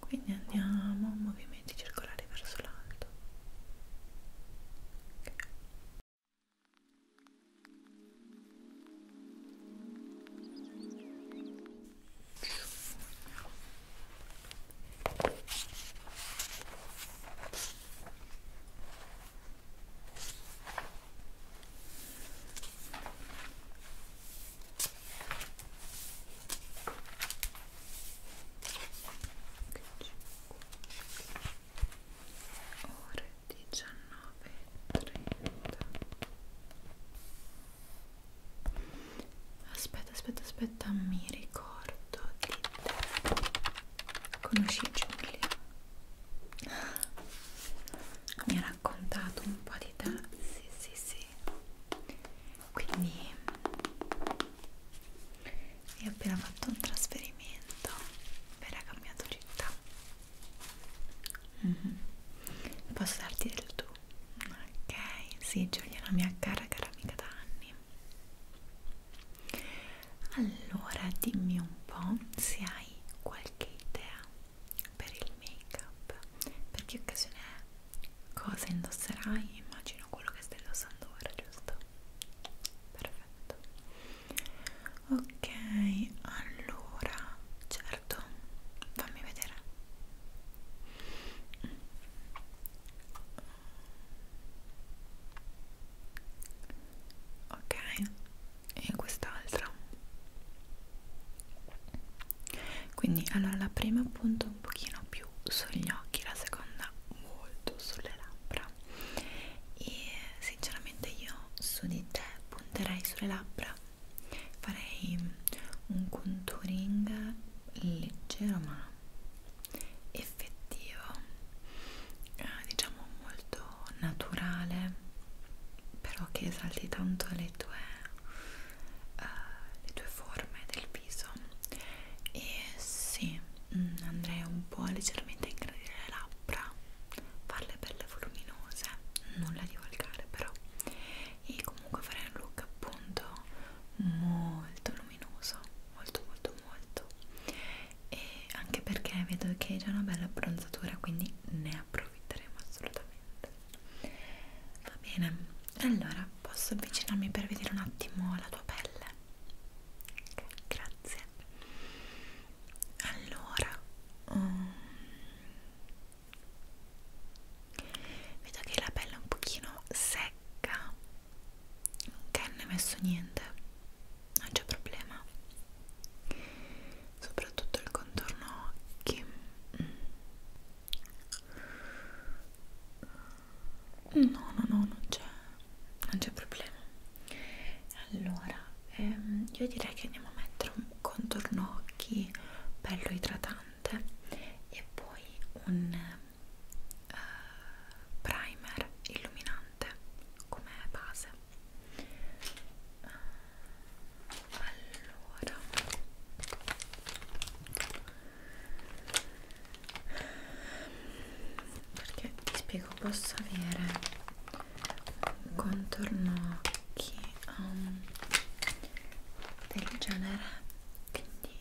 quindi andiamo a movimenti circolari verso l'alto okay ore 19.30 aspetta aspetta aspetta mi ricordo di te Conosci Giulia? Mi ha raccontato un po' di te? Sì, sì, sì. Quindi è appena fatto un trasferimento per ha cambiato città. Mm -hmm. Posso darti del tu? Ok, sì, Giulia è una mia cara, cara amica da anni allora dimmi un po' se hai qualche idea per il make up per che occasione è cosa indosserai immagino quello che stai indossando ora giusto perfetto ok allora certo fammi vedere ok e in quest'altra quindi allora la prima appunto un pochino più sugli occhi la seconda molto sulle labbra e sinceramente io su di te punterei sulle labbra farei un contouring leggero ma effettivo eh, diciamo molto naturale però che esalti tanto le tue, eh, le tue forme del viso e sì mm, andrei un po' leggermente a ingradire le labbra farle belle voluminose nulla di volgare però e comunque farei un look appunto molto luminoso molto molto molto e anche perché vedo che è già una bella abbronzatura quindi ne approfitteremo assolutamente va bene allora posso avvicinarmi per vedere un attimo la tua pelle okay, grazie allora um, vedo che la pelle è un pochino secca non che ne ho messo niente non c'è problema soprattutto il contorno occhi no no no non c'è non c'è problema allora ehm, io direi che andiamo a mettere un contorno occhi bello idratante e poi un eh, primer illuminante come base eh, allora perché ti spiego posso avere un contorno occhi um, del genere quindi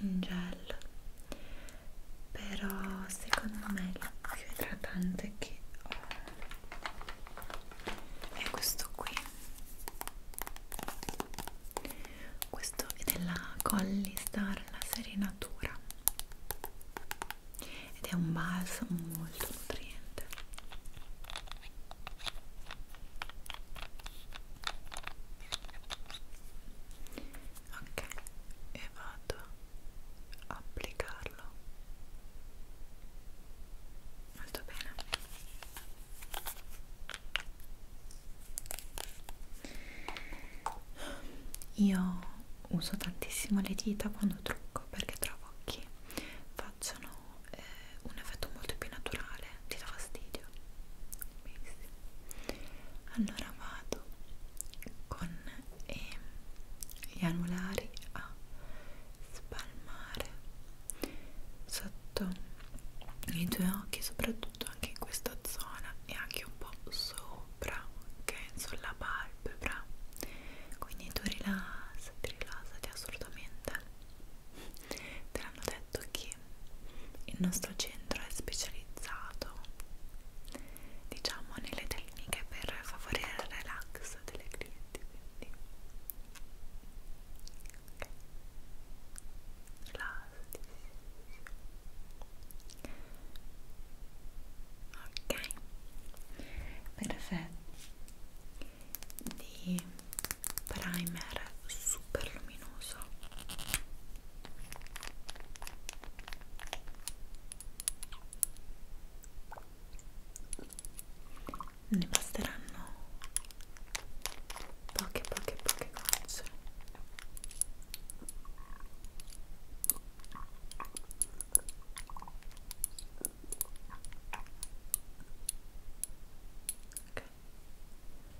in gel però secondo me il più idratante che ho è questo qui questo è della Colli Star la serie Natura ed è un balsamo molto nutriente ok e vado a applicarlo molto bene io uso tantissimo le dita quando trucco perché trovo che facciano eh, un effetto molto più naturale ti dà fastidio benissimo allora vado con eh, gli anulari a spalmare sotto i tuoi occhi soprattutto anche in questa zona e anche un po' sopra ok sulla palpebra quindi tu rilassati rilassati assolutamente te l'hanno detto che il nostro centro è specializzato diciamo nelle tecniche per favorire il relax delle clienti quindi okay. rilassati ok perfetto di primer super luminoso luminoso ne basteranno poche poche poche gocce okay uno e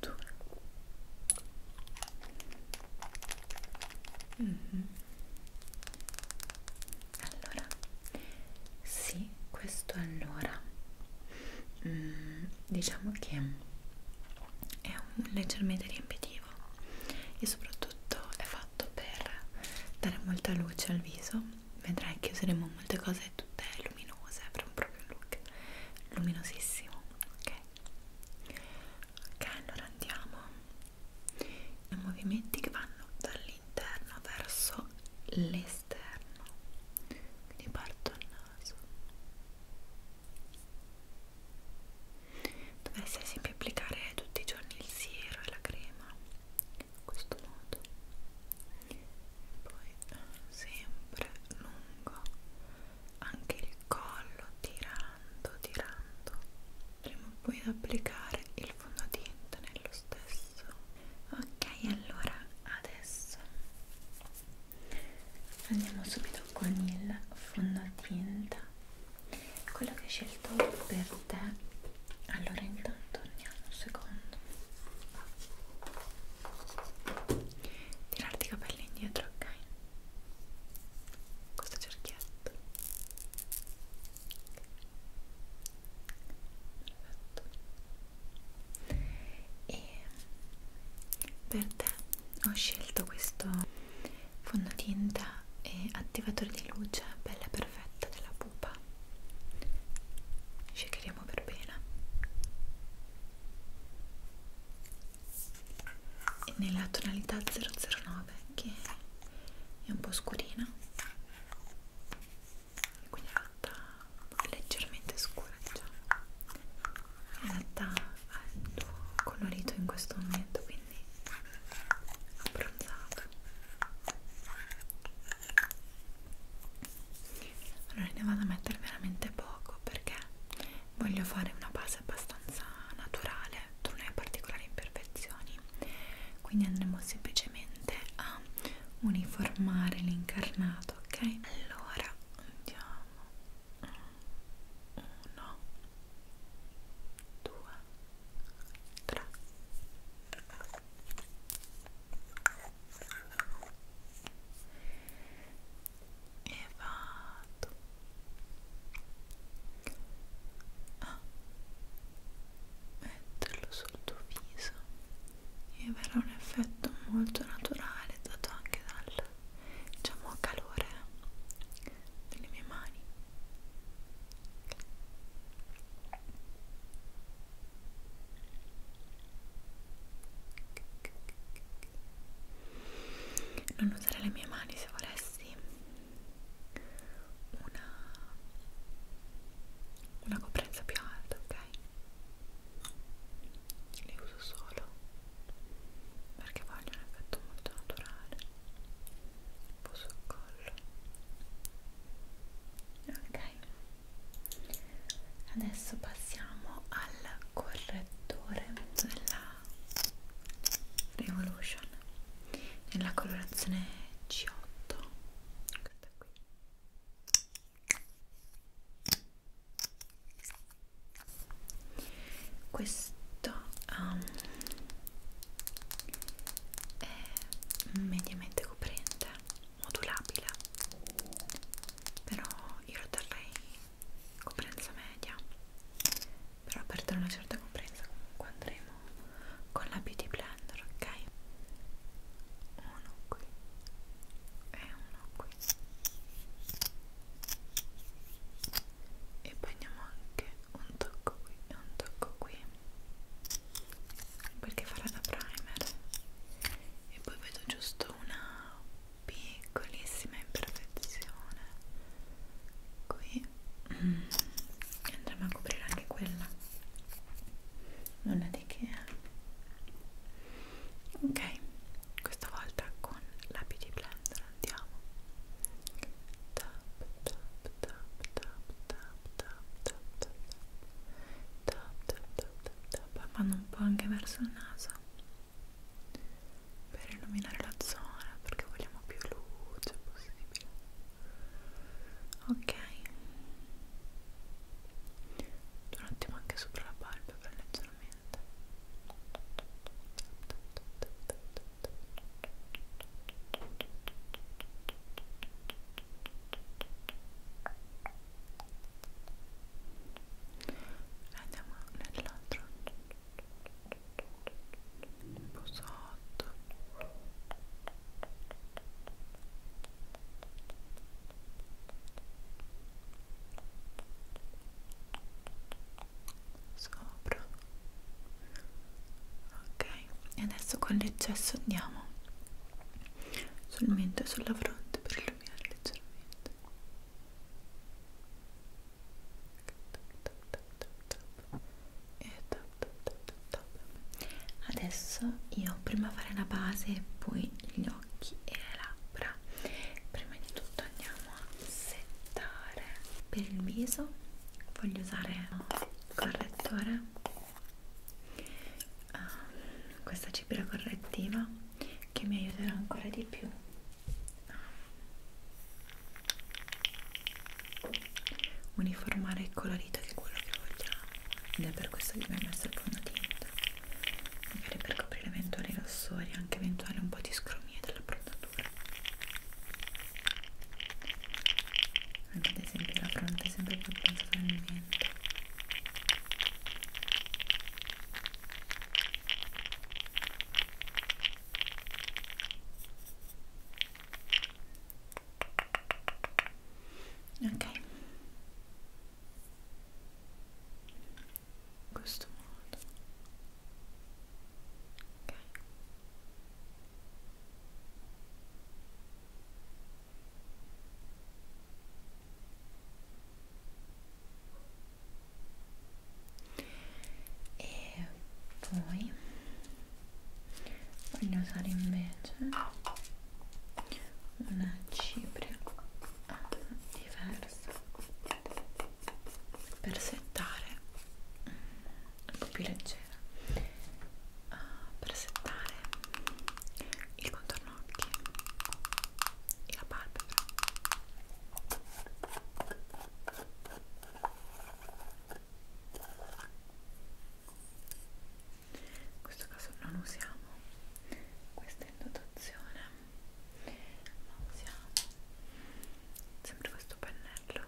due mm -hmm. allora sì questo allora mm, diciamo che è un leggermente riempitivo e soprattutto è fatto per dare molta luce al viso vedrai che useremo molte cose tutte luminose avremo proprio un look luminosissimo ok ok allora andiamo i movimenti che vanno dall'interno verso l'esterno quindi parto al naso dovresti ad esempio applicare tutti i giorni il siero e la crema in questo modo poi sempre lungo anche il collo tirando tirando andremo poi ad applicare il fondotinta nello stesso ok allora adesso andiamo subito con il fondotinta quello che ho scelto per te allora intanto andiamo un secondo tirarti i capelli indietro ok questo cerchietto perfetto e per te ho scelto questo fondotinta e attivatore di luce pelle perfetta della pupa shakeremo per bene e nella tonalità 009 che è un po' scurina e quindi è fatta leggermente scura diciamo è adatta al tuo colorito in questo momento quindi abbronzato allora ne vado a mettere veramente poco perché voglio fare una base abbastanza naturale non è particolari imperfezioni quindi andremo semplicemente a uniformare l'incarnato ok allora andiamo uno due tre e vado a ah. metterlo sul tuo viso e verrà un effetto molto naturale dato anche dal diciamo calore delle mie mani non usare le mie mani se volessi una, una coprenza più alta, ok? Le uso solo perché voglio un effetto molto naturale un po' sul collo ok adesso passiamo al correttore della Revolution nella colorazione C8 questa qui questo um, è mediamente ricoprente, modulabile, però io lo darei coprenza media, però per dare una certa coprenza comunque andremo con la beauty blender, ok? Uno qui e uno qui e poi andiamo anche un tocco qui e un tocco qui perché farà da primer e poi vedo giusto una piccolissima imperfezione qui e mm. andremo a coprire anche quella nulla di che ok questa volta con la beauty blender andiamo tap tap tap tap tap tap tap tap tap tap tap tap tap poi vanno un po' anche verso il naso per illuminare la zona perché vogliamo più luce possibile ok un attimo anche sopra la palpebra leggermente tap tap tap tap tap tap andiamo nell'altro un po' sotto sopra ok e adesso con l'eccesso andiamo sul mento e sulla fronte per illuminare leggermente e top, top, top, top. adesso io prima fare la base poi gli occhi e le labbra prima di tutto andiamo a settare per il viso voglio usare il correttore uh, questa cipria correttiva che mi aiuterà ancora di più a uniformare il colorito che è quello che vogliamo ed è per questo che mi ho messo il fondotinta magari per coprire eventuali rossori anche eventuali un po' di scromie della prontatura anche ad esempio la fronte è sempre più pensata nel vento. Ok, in questo modo. Okay e poi voglio usare invece una cipria diversa per settare un po' più leggera uh, per settare il contorno occhi e la palpebra in questo caso non usiamo questa indotazione ma usiamo sempre questo pennello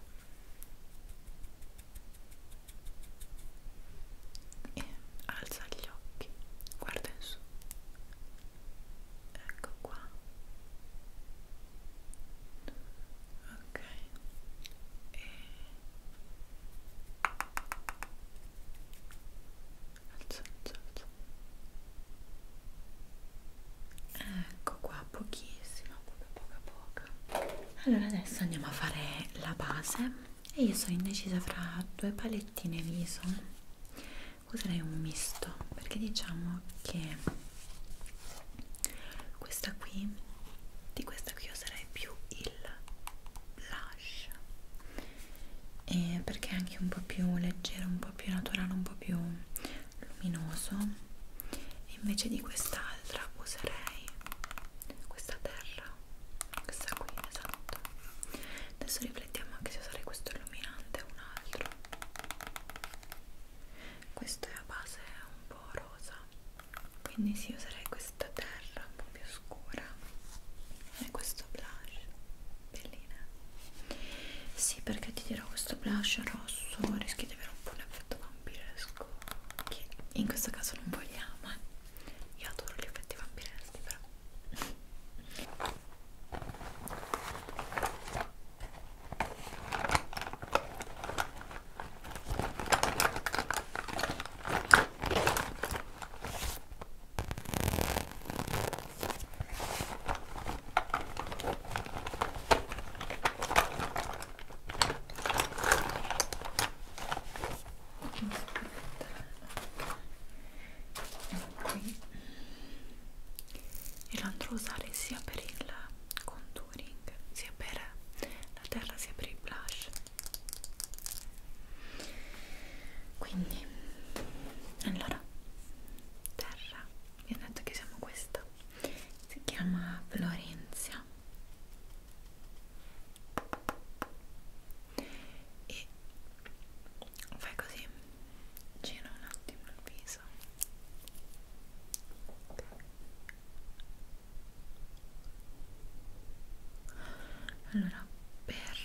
e alza gli occhi, guarda in su, ecco qua, ok, e alza, alza, alza, ecco qua, pochissima, poca, poca, poca allora adesso andiamo a fare la base e io sono indecisa fra due palettine viso eh. userei un misto perché diciamo che questa qui di questa qui userei più il blush e perché è anche un po' più leggero un po' più naturale un po' più luminoso e invece di quest'altra userei questa terra questa qui esatto adesso riflettiamo anche se usare questo illuminante o un altro questo è a base un po' rosa quindi si sì, userei questa terra un po' più scura e questo blush bellina sì perché ti dirò questo blush rosso rischia di avere un po' un effetto vampiresco Ecco, che in questo caso non vogliamo eh. io adoro gli effetti vampireschi però qui e lo andrò a usare sia per il contouring sia per la terra sia per il blush quindi allora terra vi ho detto che siamo questa si chiama Florencia e fai così gira un attimo il viso allora per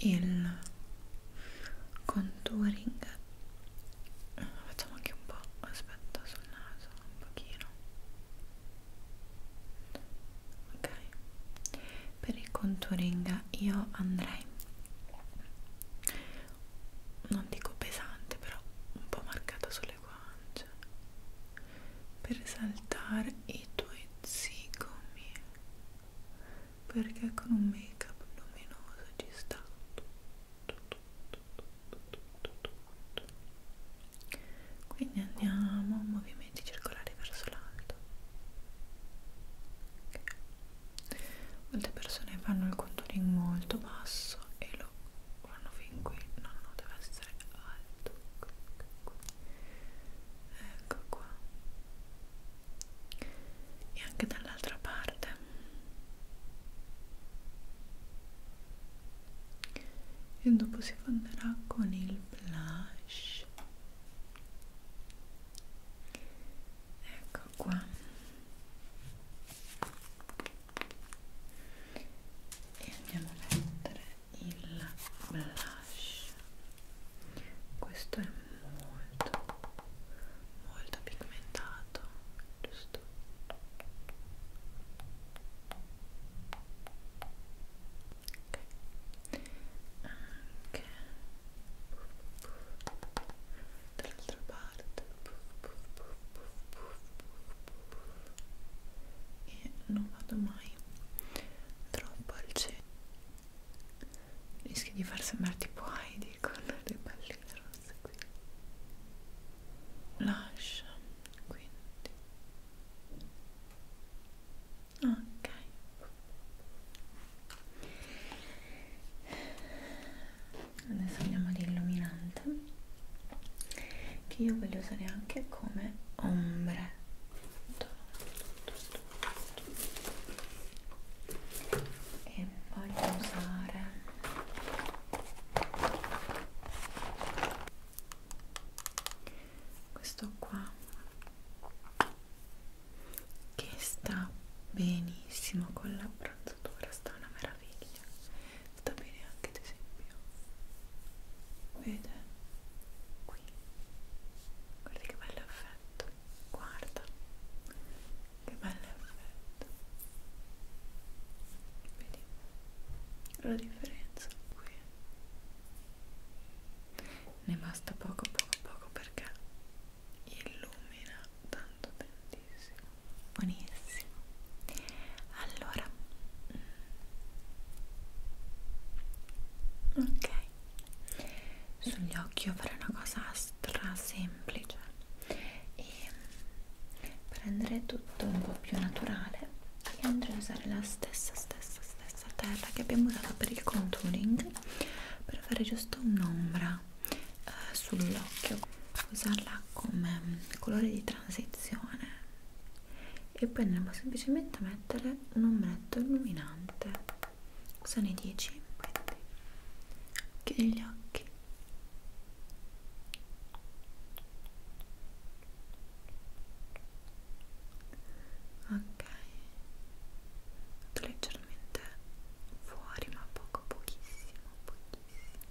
il contouring facciamo anche un po' aspetta sul naso solo un pochino ok per il contouring io andrei non dico pesante però un po' marcato sulle guance per saltare i tuoi zigomi perché con un make up luminoso ci sta tutto quindi andiamo movimenti circolari verso l'alto okay. molte persone fanno il contouring molto basso e lo fanno fin qui no no deve essere alto ecco qua e anche dall'altra parte e dopo si fonderà con il blush ecco qua e andiamo a mettere il blush questo è molto molto pigmentato giusto ok anche dall'altra parte e non vado mai troppo al centro rischi di far sembrare tipo Heidi con le palline rosse questa qui lascia quindi ok adesso andiamo all'illuminante che io voglio usare anche come ombre e voglio usare questo qua che sta benissimo con l'abbronzatura sta una meraviglia sta bene anche ad esempio vede qui guarda che bello effetto guarda che bello effetto vedi la differenza qui ne basta poco poco poco perché illumina tanto tantissimo buonissimo allora mm. ok sugli occhi io farei una cosa stra semplice e e per rendere tutto un po' più naturale io andrei a usare la stessa stessa stessa terra che abbiamo usato per il contouring per fare giusto un'ombra eh, sull'occhio usarla come mm, colore di transizione e poi andremo semplicemente a mettere un ombretto illuminante sono i 10 quindi chiudi gli occhi ok vado leggermente fuori ma poco pochissimo pochissimo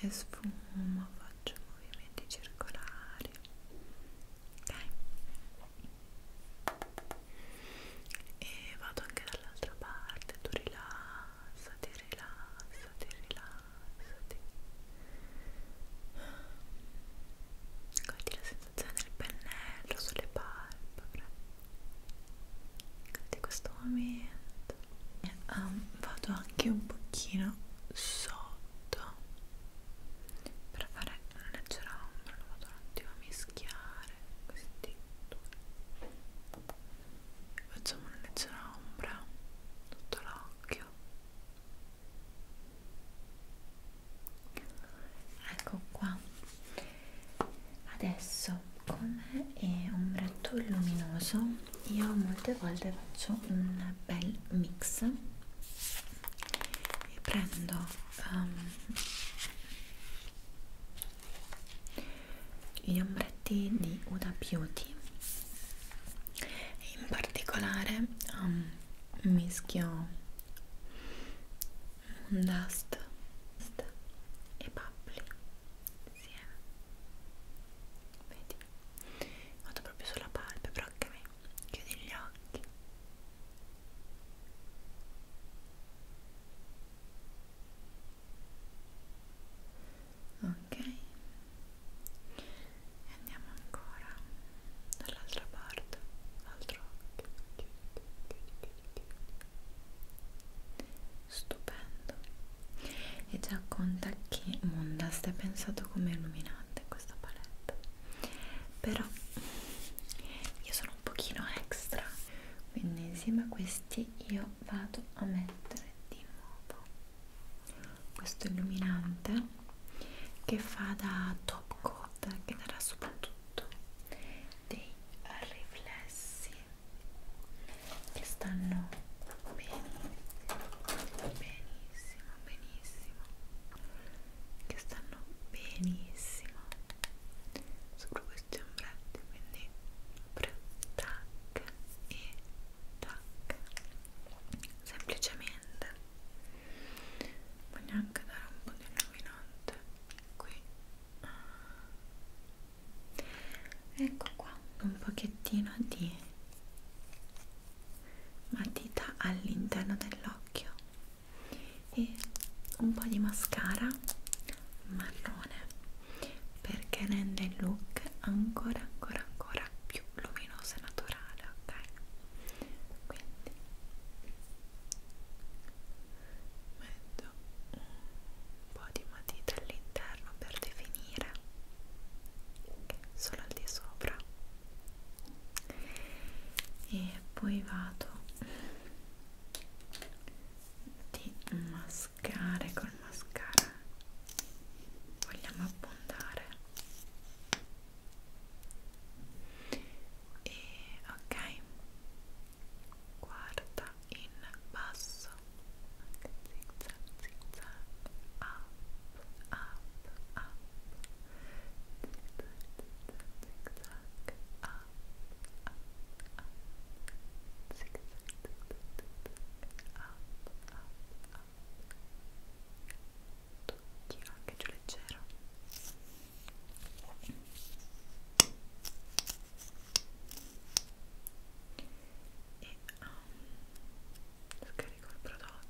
e sfumo faccio movimenti circolari ok e vado anche dall'altra parte tu rilassati rilassati rilassati cogli la sensazione del pennello sulle palpebre di questo momento e, um, vado anche un pochino sotto per fare non leggerà ombra, lo vado un attimo a mischiare questi due facciamo una leggera ombra sotto l'occhio ecco qua adesso come è ombretto luminoso io molte volte faccio un bel mix e prendo um, gli ombretti di Uda Beauty in particolare um, mischio un dust e bubbly insieme eh. vedi vado proprio sulla palpebra ok chiudi gli occhi ok e andiamo ancora dall'altra parte l'altro occhio chiudi chiudi chiudi stupendo e già conta che monda stai pensato come illuminante questa palette però io sono un pochino extra quindi insieme a questi io vado a mettere di nuovo questo illuminante che fa da top coat che darà soprattutto dei riflessi che stanno benissimo benissimo benissimo che stanno benissimo sopra questi ombretti quindi pre, tac e tac semplicemente voglio anche dare un po' di illuminante qui ecco qua un pochettino di matita all'interno dell'occhio e un po' di mascara marrone perché rende il look ancora ancora ancora più luminoso e naturale ok quindi metto un po' di matita all'interno per definire solo al di sopra e poi vado di mascare col mascara vogliamo abbondare e ok guarda in basso zig zag zig zag up ah up, up, tic tac, tic tac, up, up, up, tic tac, tic tac, up, up, up, tocchino anche giù leggero. E um, scarico il prodotto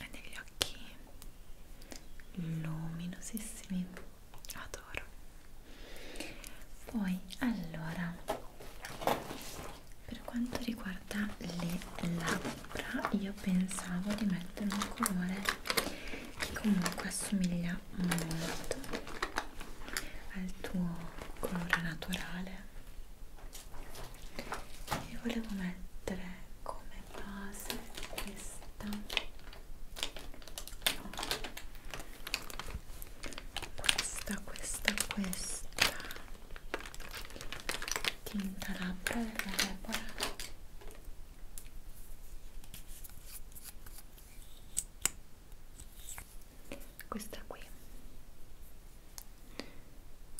e degli occhi luminosissimi adoro poi allora per quanto riguarda le labbra io pensavo di mettere un colore che comunque assomiglia molto al tuo colore naturale e volevo mettere come base questa no. questa questa questa tinta labbra della Repora e questa qui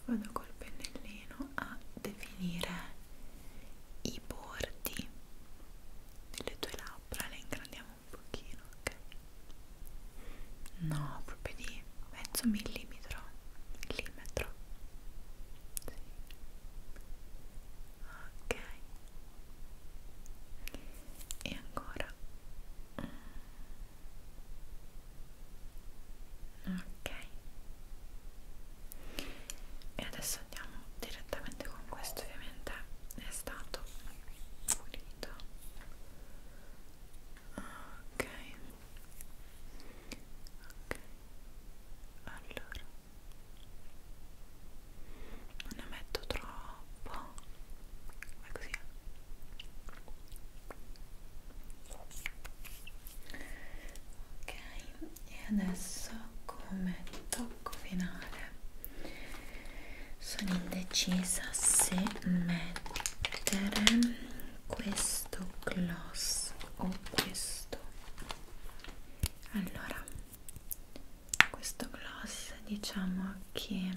vado col pennellino a definire i bordi delle tue labbra le ingrandiamo un pochino ok no proprio di mezzo millimetro millimetro sì. ok e ancora ok e adesso andiamo direttamente con questo ovviamente è stato pulito ok ok allora non ne metto troppo Vai così. Eh. Ok, e adesso come tocco finale sono indecisa se mettere questo gloss o questo. Allora, questo gloss diciamo che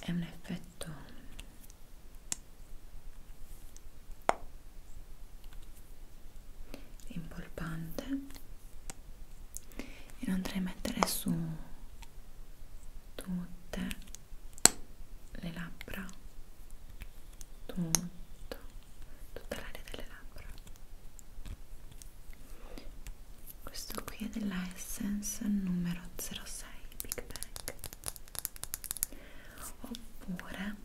è un effetto perfetto impolpante e lo andrei a mettere su tutte le labbra tutto tutta l'area delle labbra questo qui è della Essence numero 06 Big Bang oppure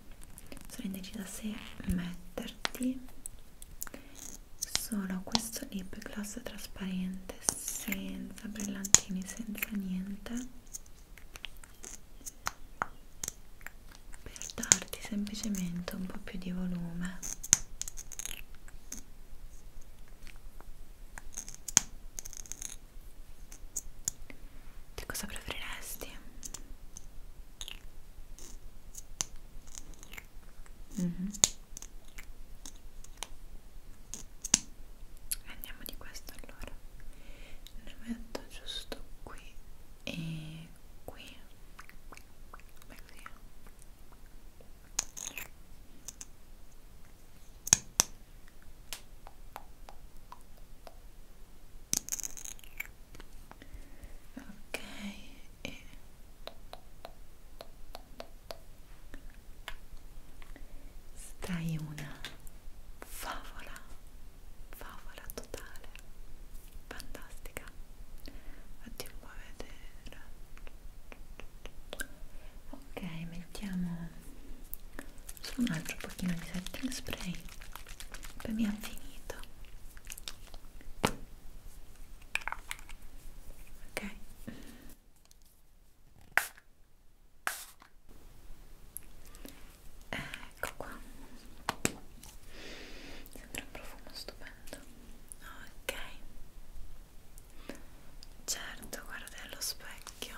sono indecisa se metterti solo questo lip gloss trasparente senza brillantini senza niente per darti semplicemente un po' più di volume che cosa preferiresti? Mm-hmm. Andiamo di questo allora. Ne metto giusto qui e qui. Beh, così ok e stai una favola favola totale fantastica Fatti un po' vedere ok mettiamo su un altro pochino di setting spray poi abbiamo finito ok ecco qua sembra un profumo stupendo ok certo guarda allo specchio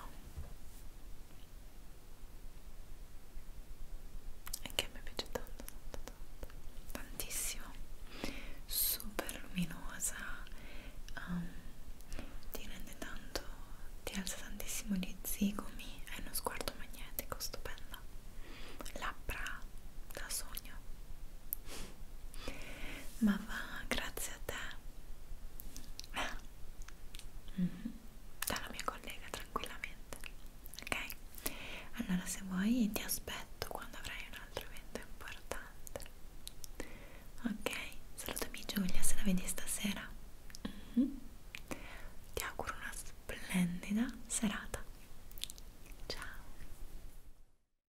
anche a me piace tanto, tanto, tanto. tantissimo super luminosa um, ti rende tanto ti alza tantissimo gli zigomi è uno sguardo magnetico stupendo labbra da sogno ma va grazie a te mm -hmm. dalla mia collega tranquillamente ok allora se vuoi ti aspetto quando avrai un altro evento importante ok salutami Giulia se la vedi stasera mm -hmm. ti auguro una splendida serata ciao